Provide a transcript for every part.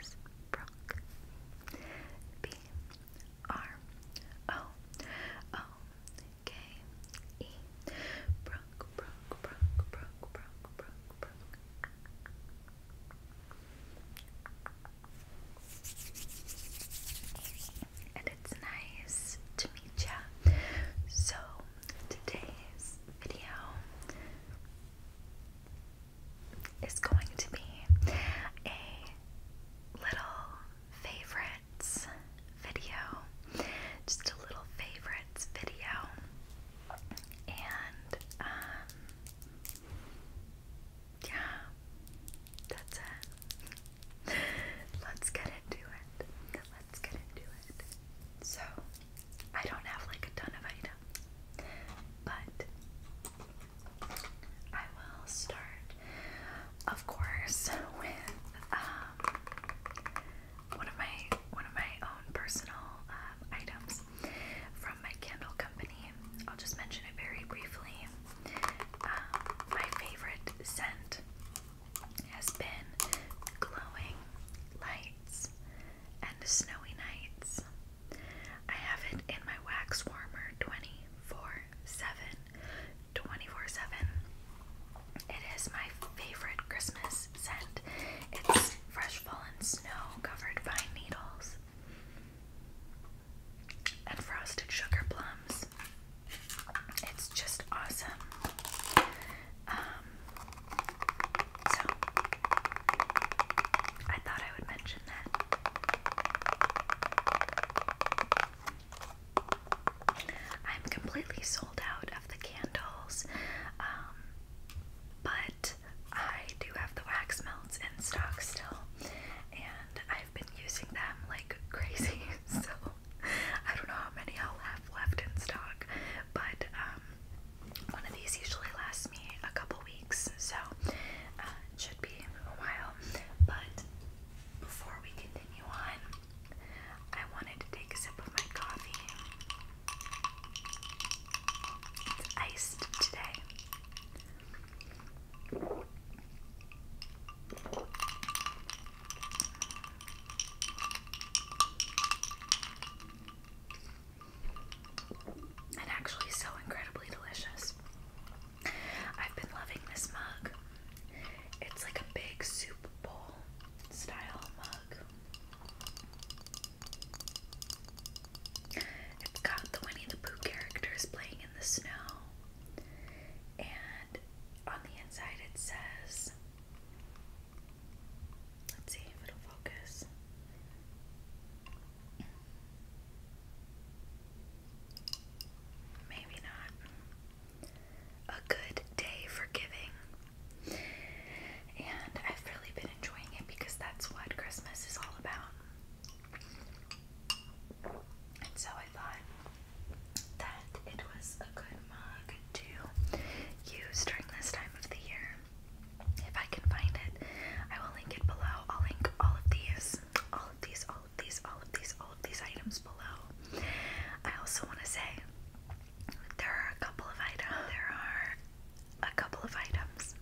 is Brooke. B R O O K E. Brooke, Brooke, Brooke, Brooke, Brooke, Brooke, And it's nice to meet ya. So, today's video is going to be a little favorites video. Just a little favorites video. And, um, yeah, that's it. Let's get into it. Let's get into it. So, I don't have like a ton of items, but I will start, of course, with um, one of my one of my own personal um, items from my candle company. I'll just mention it very briefly. Um, my favorite scent has been glowing lights and snowy nights. I have it in my wax warmer 24 7. 24 7. It is my favorite Christmas scent. It's fresh fallen snow covered by needles and frosted sugar plums. It's just awesome. Um, so I thought I would mention that. I'm completely sold out of the candles, um, but I do have the wax melts in stock still, and I've been using them like crazy. So I don't know how many I'll have left in stock, but um, one of these usually lasts me a couple weeks, so uh, should be a while. But before we continue on, I wanted to take a sip of my coffee. It's iced today and actually so incredibly delicious. I've been loving this mug. It's like a big soup bowl style mug. It's got the Winnie the Pooh characters playing in the snow. And on the inside it says Let's see if it'll focus. Maybe not. A good day for giving. And I've really been enjoying it because that's what Christmas is all about. And so I thought that it was a good mug to use during this time of the year if I can find it. I will link it below. I'll link all of these, all of these, all of these, all of these, all of these items below. I also want to say there are a couple of items. There are a couple of items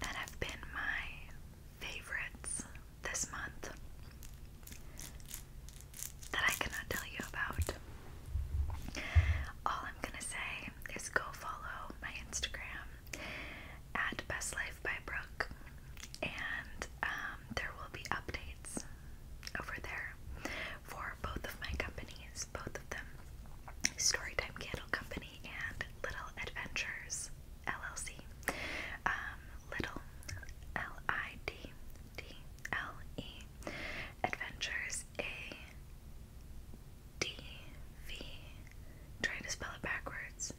that have been my favorites this month that I cannot tell you about. All I'm gonna say is go follow my Instagram at Best Life by Brooke, and um, there will be updates over there for both of my companies, both of them Storytime Candle Company and Little Adventures LLC. Um, little L I D D L E Adventures A D V trying to spell it backwards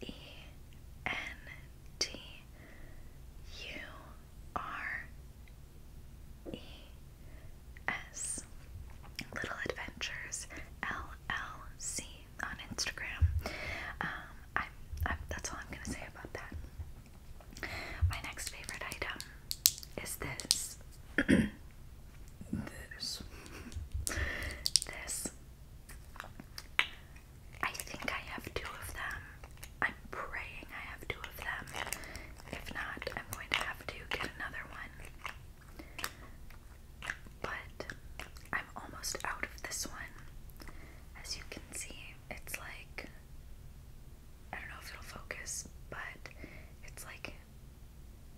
E N T U R E S Little Adventures L L C on Instagram. Um, I'm, that's all I'm gonna say about that. My next favorite item is this. this. this. I think I have two of them. I'm praying I have two of them. If not, I'm going to have to get another one. But I'm almost out of this one. As you can see, it's like I don't know if it'll focus, but it's like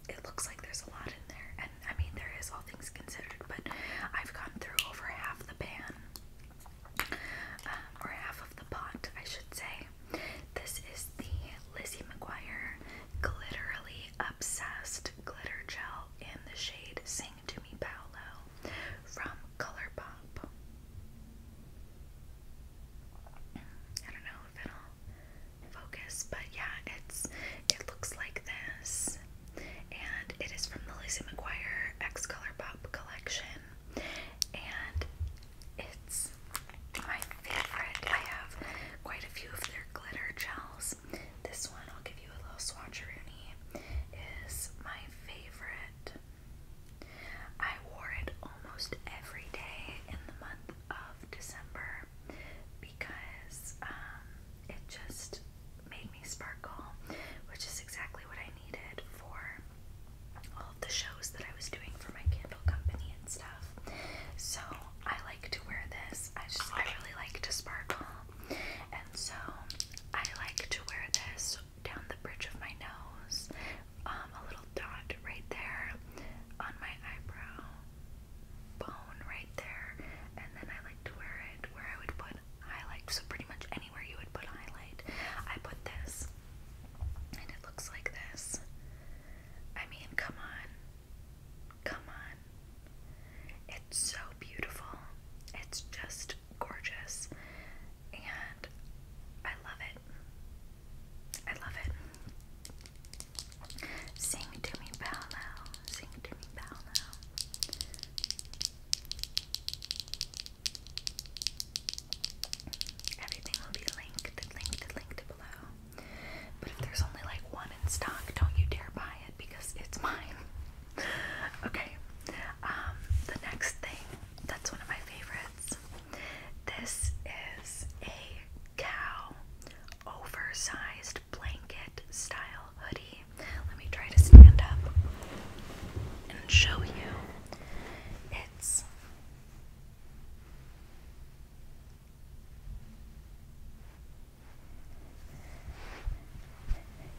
it looks like there's a lot in there, and I mean, there is all things considered, but I've gone through over half the pan, um, or half of the pot, I should say. This is the Lizzie McGuire Glitterly Obsessed Glitter Gel in the shade Sing To Me Paolo from ColourPop. I don't know if it'll focus, but yeah, it's it looks like this, and it is from the Lizzie McGuire X Color collection, and it's my favorite. I have quite a few of their glitter gels. This one, I'll give you a little swatcheroony, is my favorite. I wore it almost every day in the month of December because um, it just made me sparkle, which is exactly what I needed for all of the shows that I was doing for my candle company and stuff. So I like to wear this. I just I really like to sparkle, and so I like to wear this down the bridge of my nose um, a little dot right there on my eyebrow bone right there, and then I like to wear it where I would put highlight. So pretty much anywhere you would put highlight, I put this, and it looks like this. I mean, come on, come on. It's so beautiful. It's just gorgeous. And I love it. I love it. Sing to me, bow now. Sing to me, bow now. Everything will be linked, linked, linked below. But if there's only like one in stock, don't you dare buy it because it's mine. okay. Um, the next thing that's one of my favorites this is a cow oversized blanket style hoodie. Let me try to stand up and show you. It's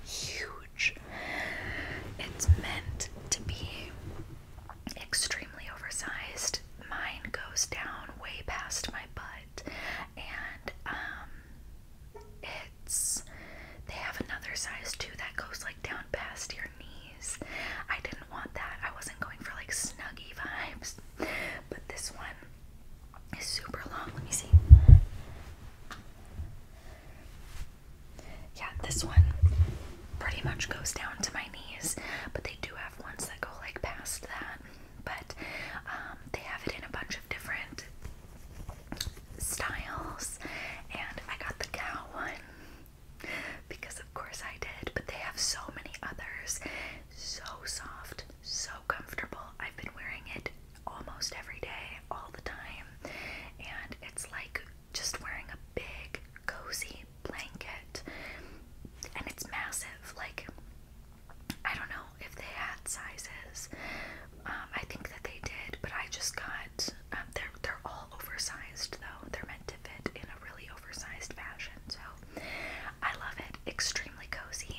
huge. It's meant to be extremely oversized. Mine goes down way past my butt, and um, it's they have another size too that goes like down past your knees. I didn't want that. I wasn't going for like snuggy vibes, but this one is super long. Let me see. Yeah, this one pretty much goes down to my knees, but they they do have ones that go like past that, but um, they have it in a bunch of different styles. And I got the cow one because, of course, I did, but they have so many others. So soft, so comfortable. I've been wearing it almost every day, all the time, and it's like just wearing a big, cozy blanket and it's massive. Like, I don't know if they had sizes. Um, I think that they did, but I just got um, they're they're all oversized though. They're meant to fit in a really oversized fashion. So I love it. Extremely cozy.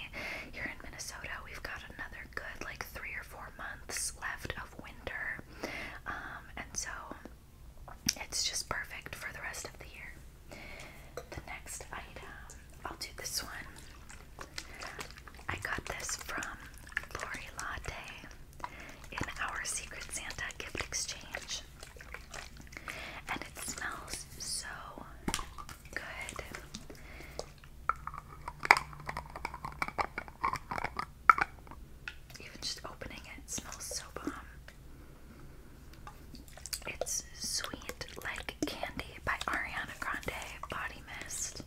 Here in Minnesota, we've got another good like three or four months left of winter, um, and so it's just perfect for the rest of the year. The next item, I'll do this one. I got this from Lori Latte in our Secret Santa gift exchange. And it smells so good. Even just opening it, smells so bomb. It's Sweet Like Candy by Ariana Grande Body Mist.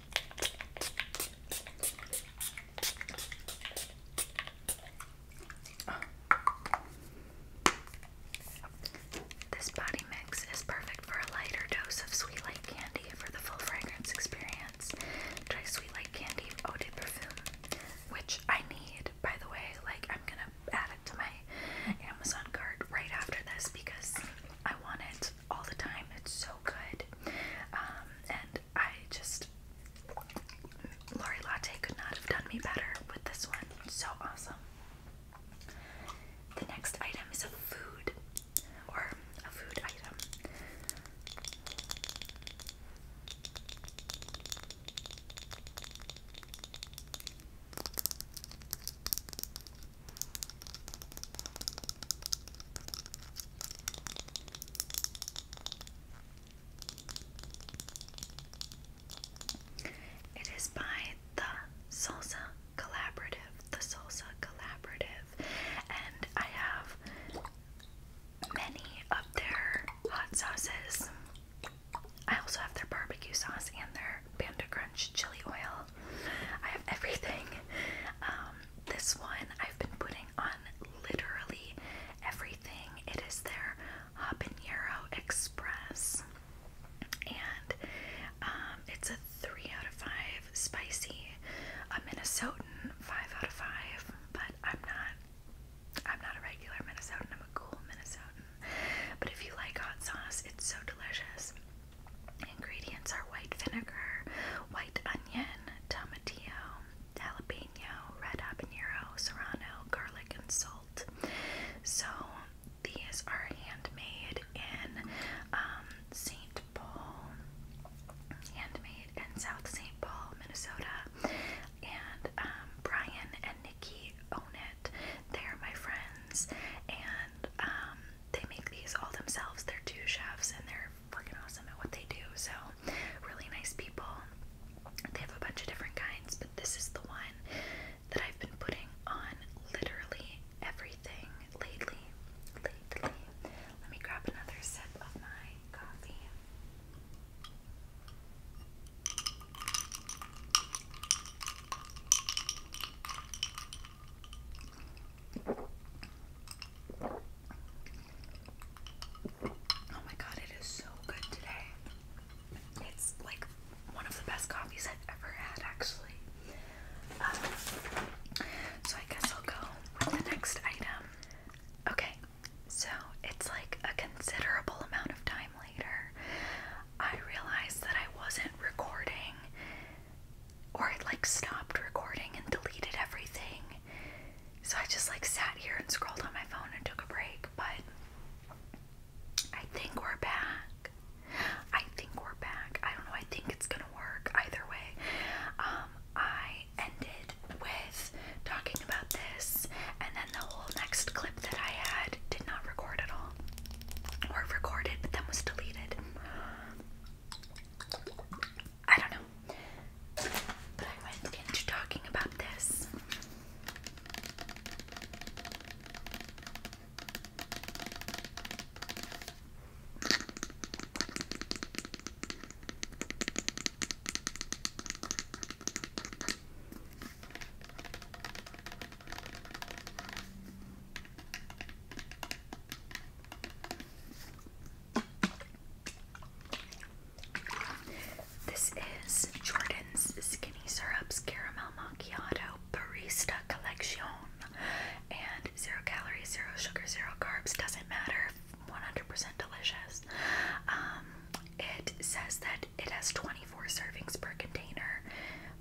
Oh. This body mix is perfect for a lighter dose of Sweet Like Candy for the full fragrance experience. Try Sweet Like Candy Eau de Parfum, which I need by the way. Like, I'm gonna add it to my Amazon cart right after this because I want it all the time. It's so good. Um, and I just, Lori Latte could not have done me better with this one. so awesome. The next item is a food or a food item. It is by the Salsa Collaborative, the Salsa Collaborative, and I have many up there hot sauces. I also have their barbecue sauce and their Panda Crunch chili oil. I have everything. Um, this one I've been putting on literally everything. It is their Habanero Express. And um, it's a 3 out of 5 spicy, a Minnesotan 5 out of 5, but I'm not I'm not a regular Minnesotan, I'm a cool Minnesotan. But if you like hot sauce, it's so delicious. Ingredients are white vinegar, white onion, tomatillo, jalapeno, red habanero, serrano, garlic, and salt. So these are handmade in um, St. Paul, handmade and South St. Paul, Minnesota. And um, Brian and Nikki own it. They're my friends, and um, they make these all themselves. They're two chefs, and they're fucking awesome at what they do. So, really nice people. They have a bunch of different kinds, but this is the one that I've been putting on literally everything lately. Lately. Let me grab another sip of my coffee. Oh my god, it is so good today. It's like one of the best coffees I've ever had, actually. Um, so I guess I'll go with the next item. Okay, so it's like a considerable amount of time later, I realized that I wasn't recording, or it like stopped recording and deleted everything. So I just like sat here and scrolled on my phone and took a break, but I think we're back. I think we're back. I don't know. I think it's gonna work either way. Um, I ended with talking about this, and then the whole next clip that I had did not record at all. Or recorded, but then was deleted. I don't know. But I went into talking about this. This is Jordan's Skinny Syrups Caramel Macchiato Barista Collection. And zero calories, zero sugar, zero carbs. Doesn't matter. 100% delicious. Um, it says that it has 24 servings per container,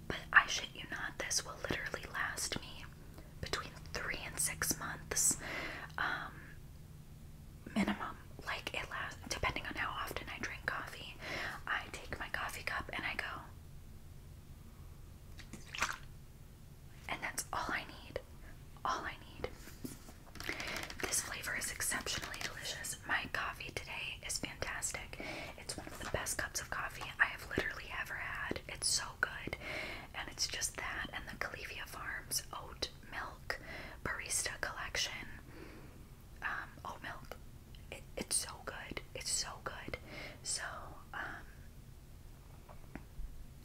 but I shit you not, this will literally last me between three and six months um, minimum. Like it lasts, depending on how often I drink coffee. I take my coffee cup and I go. And that's all I need. All I need. This flavor is exceptionally delicious. My coffee today is fantastic. It's one of the best cups of coffee I have literally ever had. It's so good. And it's just that and the Califia Farms oat milk barista collection. Um, oat milk. It, it's so good. It's so good. So, um,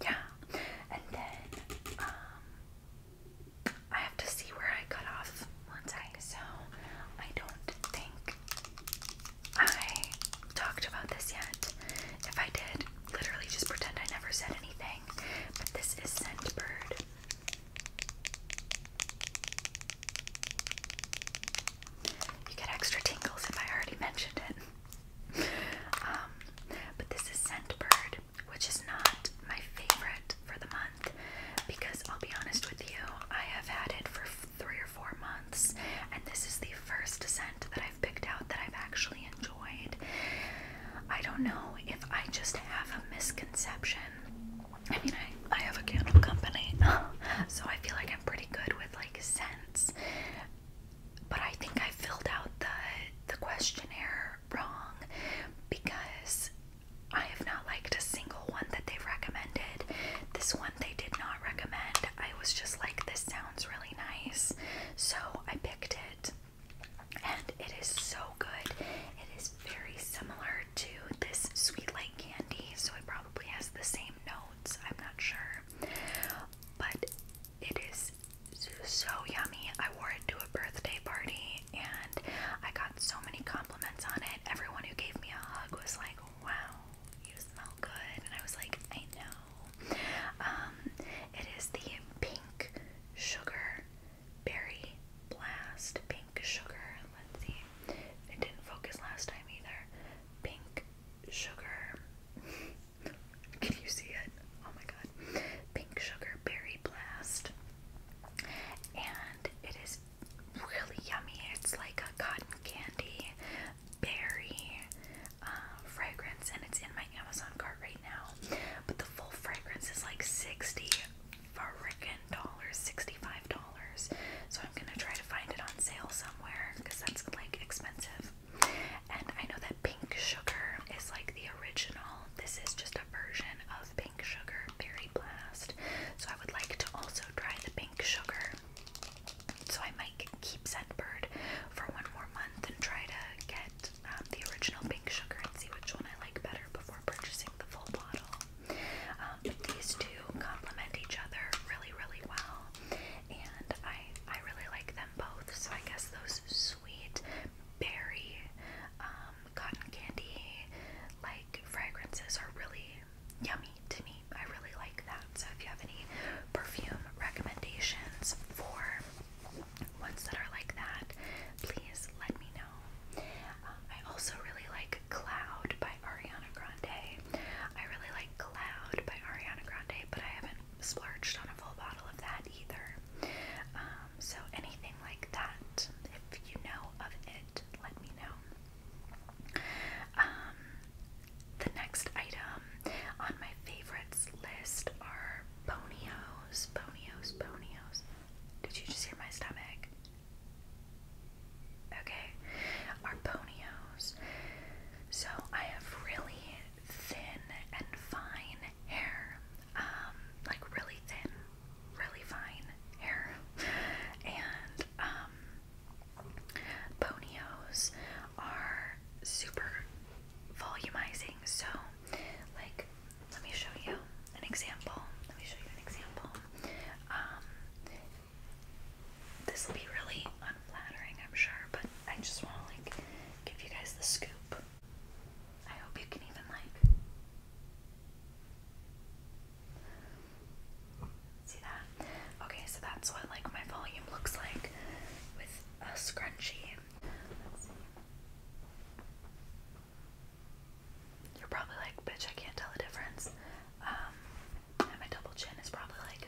yeah, and then um, I have to see where I cut off one second. So I don't think I talked about this yet. If I did, literally just pretend I never said anything. But this is Scentbird. You get extra tingles if I already mentioned it. Um, but this is Scentbird, which is not my favorite for the month because I'll be honest with you, I have had it for three or four months, and this is the first scent that I've picked out that I've actually enjoyed. I don't know if I just have a misconception. I mean, I, I have a candle company, so I feel like I'm pretty good with like scents but I think I filled out the the questionnaire wrong because I have not liked a single one that they recommended. This one they did not recommend. I was just like, this sounds really nice. So I picked it. And it is so good. It is very similar to this Sweet Light Candy. So it probably has the same notes. I'm not sure. But it is so yummy. I wore it to a birthday party and I got so many compliments on it. Everyone who gave me a hug was like, wow, you smell good. And I was like, I know. Um, it is the Pink Sugar Berry Blast. Pink Sugar. Let's see. It didn't focus last time either. Pink Sugar. Can you see it? Oh my god. Pink Sugar Berry Blast. And it is really yummy. It's like a cotton candy berry uh, fragrance, and it's in my Amazon cart right now. But the full fragrance is like 60 frickin' dollars, $65. So I'm gonna try to find it on sale somewhere because that's like expensive. And I know that pink sugar is like the original. This is just a version of pink sugar berry blast. So I would like to also try the pink sugar. So I might keep Scentbird for one more month and try to get um, the original pink sugar and see which one I like better before purchasing the full bottle. Um, these two complement each other really, really well and I I really like them both. So I guess those sweet berry um, cotton candy like fragrances are really yummy to me. I really like that. So if you have any perfume recommendations for ones that are like that, please let me know. Um, I also really like Cloud by Ariana Grande. I really like Cloud by Ariana Grande, but I haven't splurged on a full bottle of that either. Um, so anything like that, if you know of it, let me know. Um, the next item on my favorites list are bonios, bonios, bonios. Did you just hear my stomach? Okay, are bonios. So I have really thin and fine hair, um, like really thin, really fine hair, and um, ponios are super volumizing. So, like, let me show you an example. Let me show you an example. Um, this will be really unflattering, I'm sure, but I just want to like give you guys the scoop. I hope you can even like see that. Okay, so that's what like my volume looks like with a scrunchie. You're probably like, bitch, I can't tell the difference. Um, and my double chin is probably like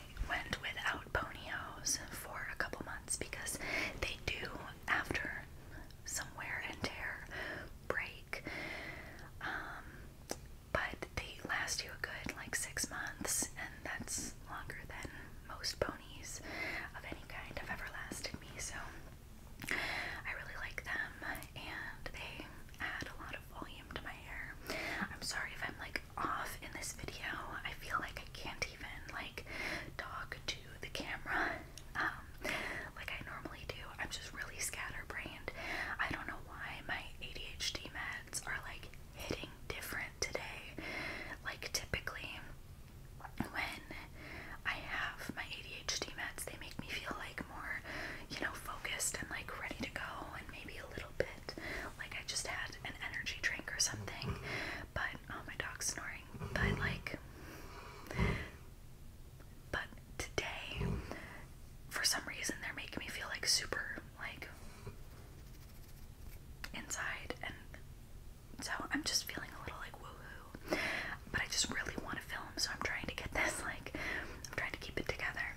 went without ponyos for a couple months because they do, after some wear and tear, break. Um, but they last you a good like six months, and that's longer than most ponies of any kind have ever lasted me. So I really like them, and they add a lot of volume to my hair. I'm sorry if I'm like off in this video. I feel like I can't even like talk to the camera um, like I normally do. I'm just really scatterbrained. I don't know why my ADHD meds are like hitting different today. Like typically when I have my ADHD meds, they make me feel like more, you know, focused and like ready to go and maybe a little bit like I just had energy drink or something. But oh, my dog's snoring. But like, but today, for some reason, they're making me feel like super like inside, and so I'm just feeling a little like woohoo. But I just really want to film, so I'm trying to get this like, I'm trying to keep it together.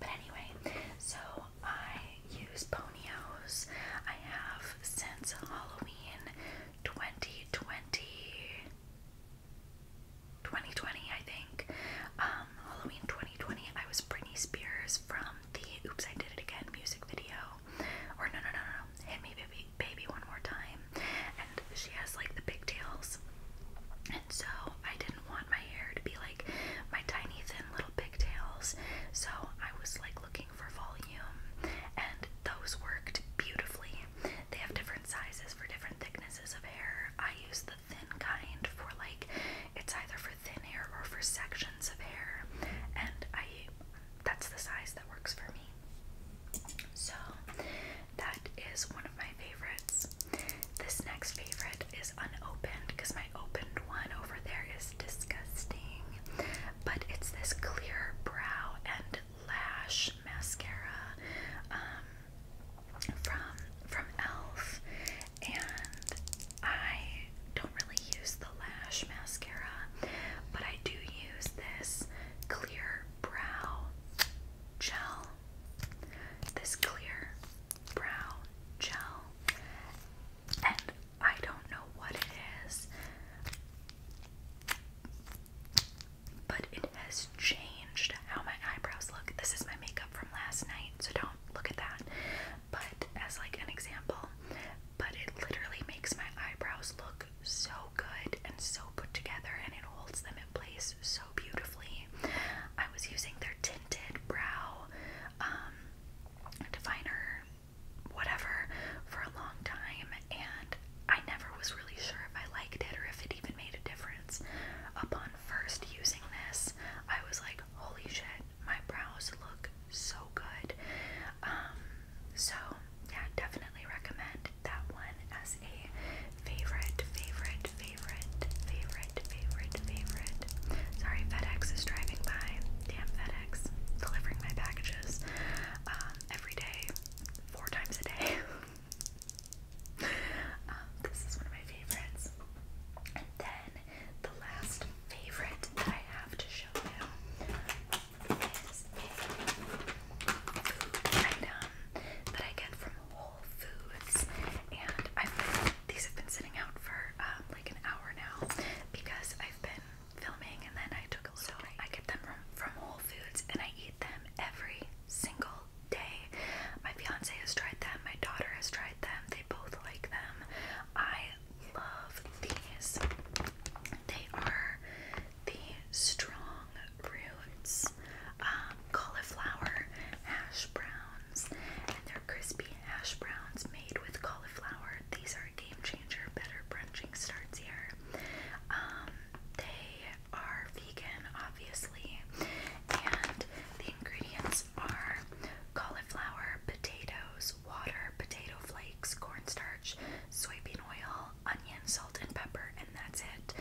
But anyway, so I use Ponyos. I have since Halloween 2020. I think. Um, Halloween 2020, I was Britney Spears from the Oops, I Did It Again music video. Or no, no, no, no, Hit Me Baby, baby One More Time. And she has like the pigtails. And so I didn't want my hair to be like my tiny thin little pigtails, so I was like looking for volume, and those worked beautifully. They have different sizes for different thicknesses of hair. I use the thin kind for like it's either for thin hair or for sections of hair, and I that's the size that works for me. So that is one of my favorites. This next favorite is unopened because my opened one over there is disgusting, but it's this clear brow and lash mascara um, from from Elf, and I don't really use the lash mascara, but I do use this clear brow gel. This clear brow gel, and I don't know what it is, but it has changed how my eyebrows look. This is my makeup from last night, so don't look at that, but as like an example, but it literally makes my eyebrows look so good and so put together, and it holds them in place so beautifully. I was using their tinted brow um, definer, whatever, for a long time, and I never was really sure if I liked it or if it even made a difference. Upon first using this, I was like, holy shit, my brows look so good. Um, so, yeah, definitely recommend that one as a favorite, favorite, favorite, favorite, favorite, favorite. Sorry, FedEx is driving by. Damn FedEx, delivering my packages um, every day, four times a day. Um, this is one of my favorites. And then the last favorite that I have to show you is a item that I get from Whole Foods, and I've been, these have been sitting out for um, like an hour now because I've been filming, and then I took a little. So I get them from, from Whole Foods, and I eat them every single day. My fiance has tried them. My daughter has tried them. They both like them. I love these. They are the strong roots, um, cauliflower, hash brown and they're crispy hash browns made with cauliflower. These are a game changer. Better brunching starts here. Um, they are vegan, obviously, and the ingredients are cauliflower, potatoes, water, potato flakes, cornstarch, soybean oil, onion, salt, and pepper, and that's it.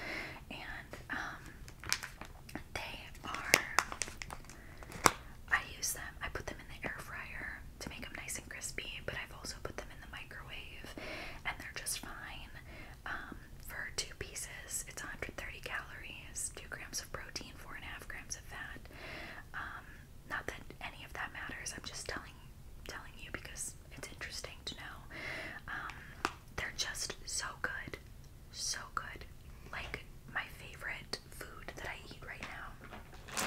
And um, they are, I use them, I put them in the air fryer to make them nice and crispy, but I've also put them in the microwave and they're just fine. Um, for two pieces, it's 130 calories, 2 grams of protein, 4.5 grams of fat. Um, not that any of that matters, I'm just telling telling you because it's interesting to know. Um, they're just so good so good. Like my favorite food that I eat right now.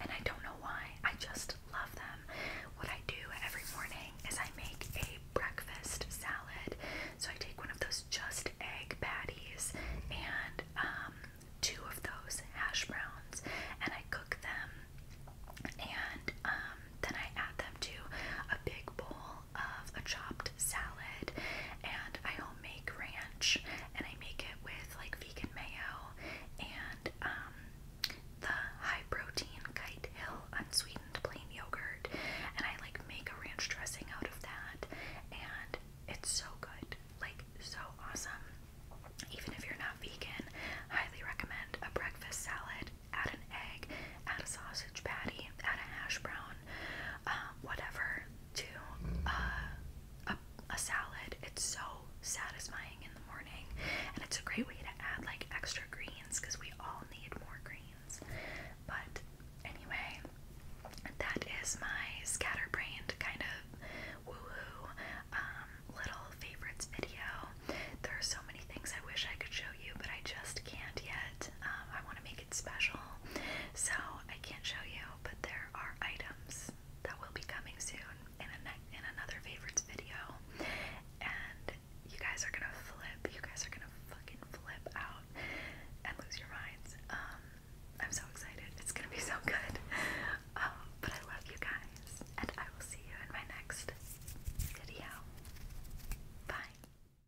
And I don't know why. I just love them. What I do every morning is I make a breakfast salad. So I take one of those just egg patties and um, two of those hash browns and I cook them. And um, then I add them to a big bowl of a chopped salad and I home make ranch and I make it with like vegan mayo and um, the high protein Kite Hill unsweetened plain yogurt and I like make a ranch dressing out of that and it's so good like so awesome even if you're not vegan highly recommend a breakfast salad add an egg add a sausage patty, add a hash brown, um, whatever to uh, a, a salad. It's so satisfying in the morning, and it's a great way to add like extra greens because we all need more greens. But anyway, that is my scatterbrained kind of woohoo um, little favorites video. There are so many things I wish I could show you but I just can't yet. Um, I want to make it special, so I can't show you. But there are items that will be coming soon in a in another favorites video, and you guys are gonna flip. You guys are gonna fucking flip out and lose your minds. Um, I'm so excited. It's gonna be so good. Um, but I love you guys, and I will see you in my next video. Bye.